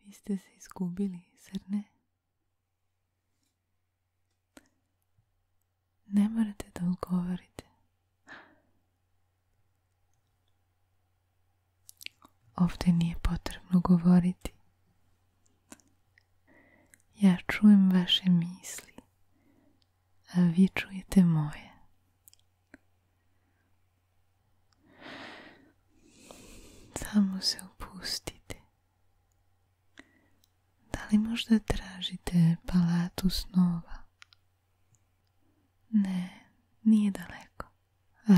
Vi ste se izgubili, zar ne? Ne morate da odgovorite. Ovdje nije potrebno govoriti. Ja čujem vaše misli, a vi čujete moje. Samo se opustite. Da li možda tražite palatu snova? Ne, nije daleko.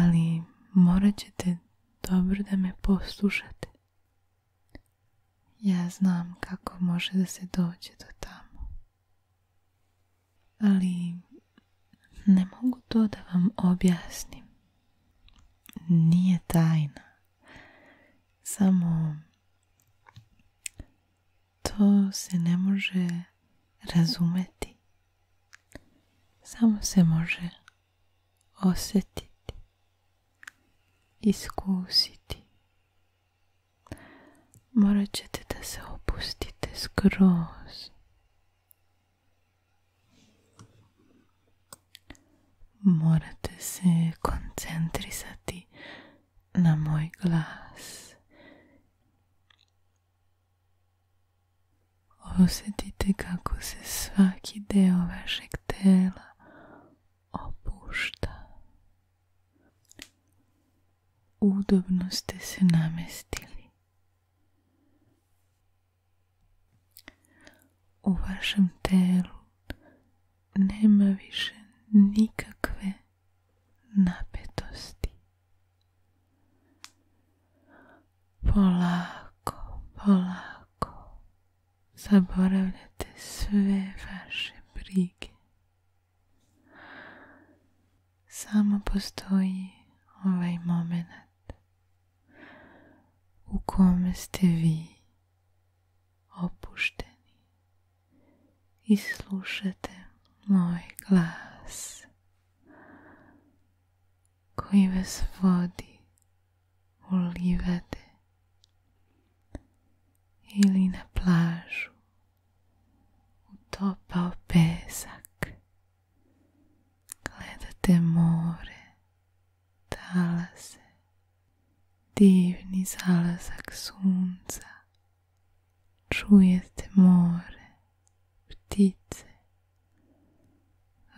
Ali morat ćete dobro da me poslušate. Ja znam kako može da se dođe do tamo. Ali ne mogu to da vam objasnim. Nije tajna. Samo to se ne može razumeti. Samo se može osjetiti iskusiti. Morat ćete da se opustite skroz. Morate se koncentrisati na moj glas Osjetite kako se svaki deo vašeg tela opušta. Udobno ste se namestili. U vašem telu nema više nikakve napetosti. Polako, polako zaboravljate sve vaše brige. Samo postoji ovaj moment u kome ste vi opušteni i slušate moj glas koji vas vodi u livade ili na plažu utopao pesak. Gledate more, talase, divni zalazak sunca. Čujete more, ptice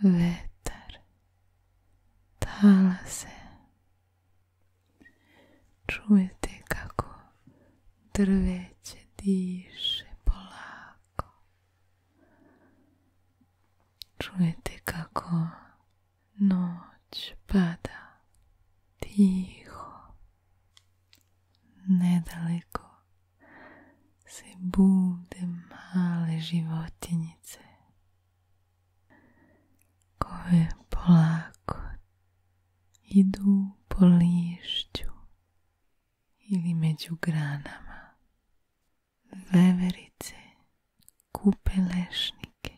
vetar, talase. Čujete kako drveće diše polako. Čujete kako noć pada tiho, nedaleko se bude male životinjice koje polako idu po lišću ili među granama. Veverice kupe lešnike,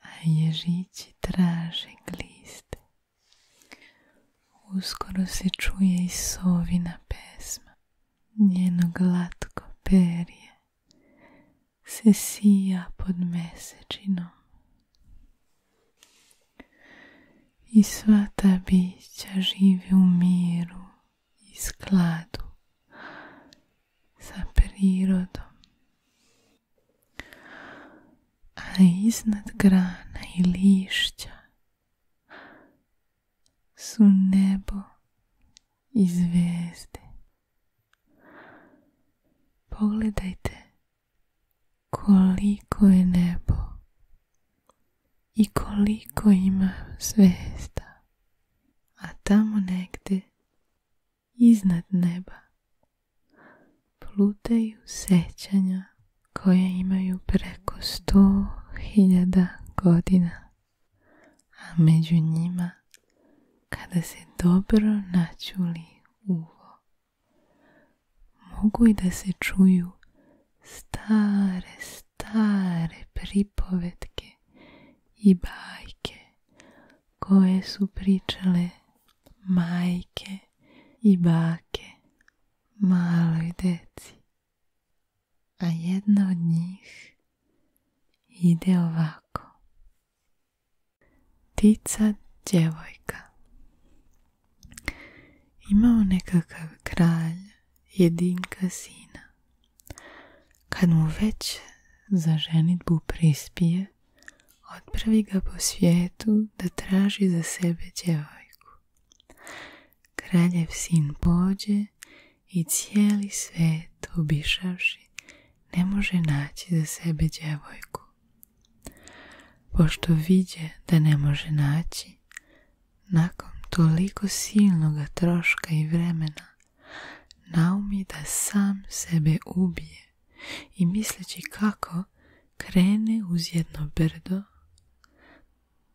a ježići traže gliste. Uskoro se čuje i sovina pesma, njeno glatko perje se sija pod mesečinom. I sva ta bića živi u miru i skladu sa prirodom. A iznad grana i lišća su nebo i zvijezde. Pogledajte koliko je nebo i koliko ima zvijezda, a tamo negdje iznad neba plutaju sećanja koje imaju preko sto hiljada godina, a među njima kada se dobro načuli uvo, mogu i da se čuju stare, stare pripovetke i bajke koje su pričale majke i bake maloj deci. A jedna od njih ide ovako. Tica djevojka. Imao nekakav kralj, jedinka sina. Kad mu već za ženitbu prispije, otpravi ga po svijetu da traži za sebe djevojku. Kraljev sin pođe i cijeli svet obišavši ne može naći za sebe djevojku. Pošto viđe da ne može naći, nakon toliko silnoga troška i vremena, naumi da sam sebe ubije i misleći kako krene uz jedno brdo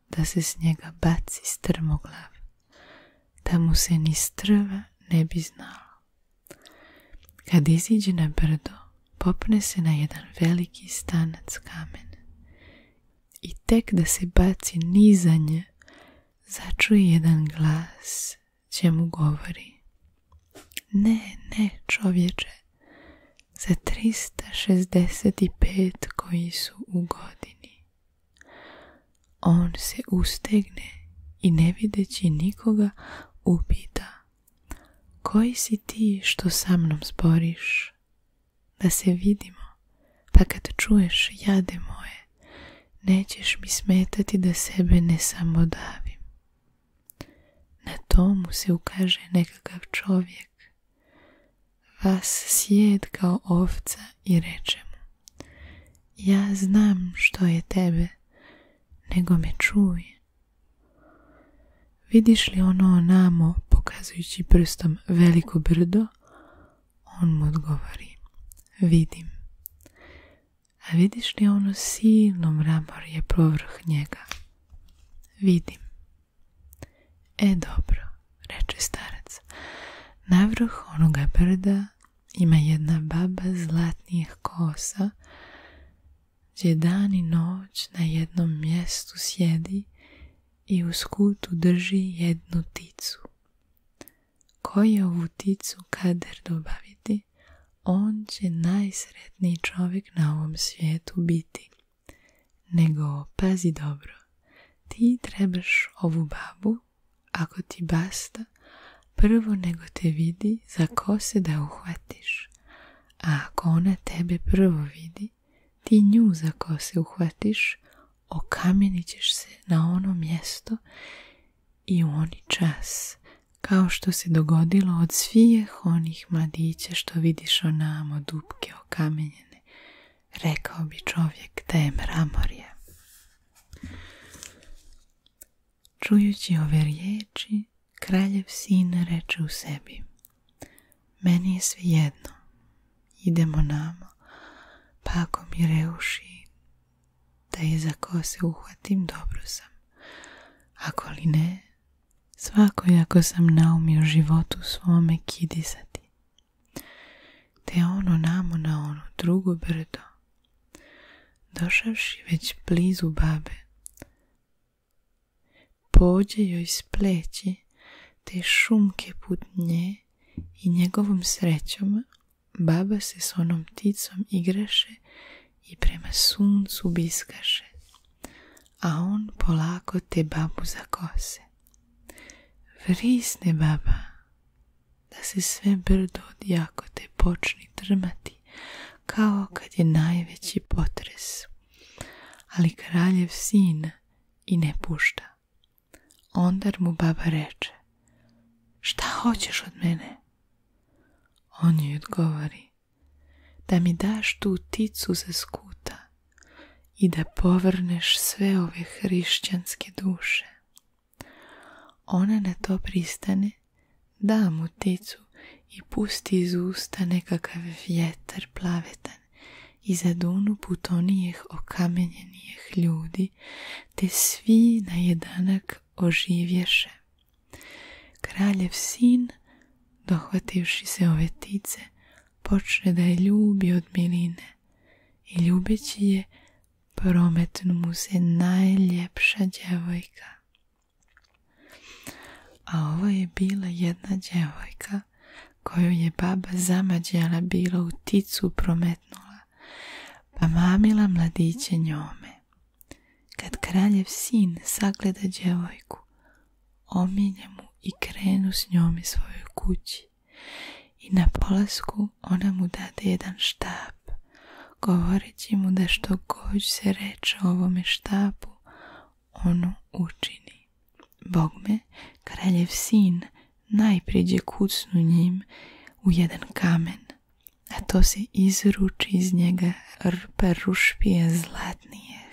da se s njega baci strmoglav, da mu se ni strva ne bi znalo. Kad iziđe na brdo, popne se na jedan veliki stanac kamen i tek da se baci nizanje, začuje jedan glas čemu govori. Ne, ne, čovječe, za 365 koji su u godini. On se ustegne i ne videći nikoga upita. Koji si ti što sa mnom sporiš? Da se vidimo, pa kad čuješ jade moje, nećeš mi smetati da sebe ne samo davim. Na tomu se ukaže nekakav čovjek. Vas sjed kao ovca i reče mu. Ja znam što je tebe, nego me čuj. Vidiš li ono namo, pokazujući prstom veliko brdo? On mu odgovori. Vidim. A vidiš li ono silno je povrh njega? Vidim. E dobro, reče starac. Navrh onoga brda ima jedna baba zlatnih kosa, gdje dan i noć na jednom mjestu sjedi i u skutu drži jednu ticu koji ovu ticu kader dobaviti, on će najsretniji čovjek na ovom svijetu biti. Nego, pazi dobro, ti trebaš ovu babu, ako ti basta, prvo nego te vidi za ko se da uhvatiš. A ako ona tebe prvo vidi, ti nju za ko se uhvatiš, okamenit ćeš se na ono mjesto i u oni čas, kao što se dogodilo od svijeh onih mladića što vidiš onamo dupke okamenjene, rekao bi čovjek da je Čujući ove riječi, kraljev sin reče u sebi, meni je jedno, idemo namo, pa ako mi reuši da je za se uhvatim dobro sam. Ako li ne, svako ako sam naumio životu svome kidisati. Te ono namo na ono drugo brdo, došavši već blizu babe, pođe joj spleći te šumke put nje i njegovom srećom baba se s onom pticom igraše i prema suncu biskaše, a on polako te babu zakose. Vrisne baba, da se sve brdo jako te počni drmati, kao kad je najveći potres. Ali kraljev sina i ne pušta, Ondar mu baba reče, šta hoćeš od mene? On joj odgovori, da mi daš tu ticu za skuta i da povrneš sve ove hrišćanske duše. Ona na to pristane, da mu ticu i pusti iz usta nekakav vjetar plavetan i zadunu putonijeh okamenjenijih ljudi te svi na jedanak oživješe. Kraljev sin, dohvativši se ove tice, počne da je ljubi od miline i ljubeći je prometnu mu se najljepša djevojka. A ovo je bila jedna djevojka koju je baba zamađala bila u ticu prometnu pa mamila mladiće njome. Kad kraljev sin sagleda djevojku, omilje mu i krenu s njome svojoj kući. I na polasku ona mu dade jedan štap, govoreći mu da što god se reče ovome štapu, ono učini. Bogme, kraljev sin najpriđe kucnu njim u jedan kamen, a to se izruči iz njega rpa rušpije zlatnijeh,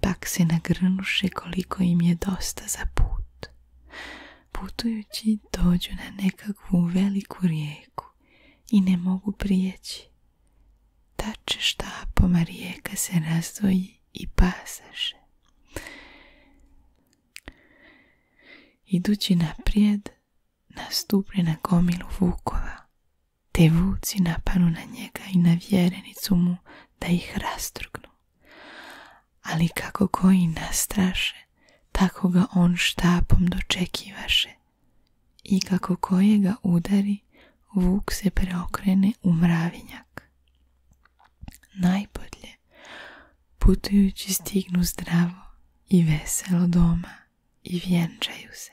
pak se nagrnuše koliko im je dosta za put. Putujući dođu na nekakvu veliku rijeku i ne mogu prijeći. Tače štapoma rijeka se razdvoji i pasaše. Idući naprijed, nastupi na gomilu vukova, te vuci napanu na njega i na vjerenicu mu da ih rastrgnu, Ali kako koji nastraše, tako ga on štapom dočekivaše. I kako kojega udari, vuk se preokrene u mravinjak, Najbolje, putujući stignu zdravo i veselo doma i vjenčaju se.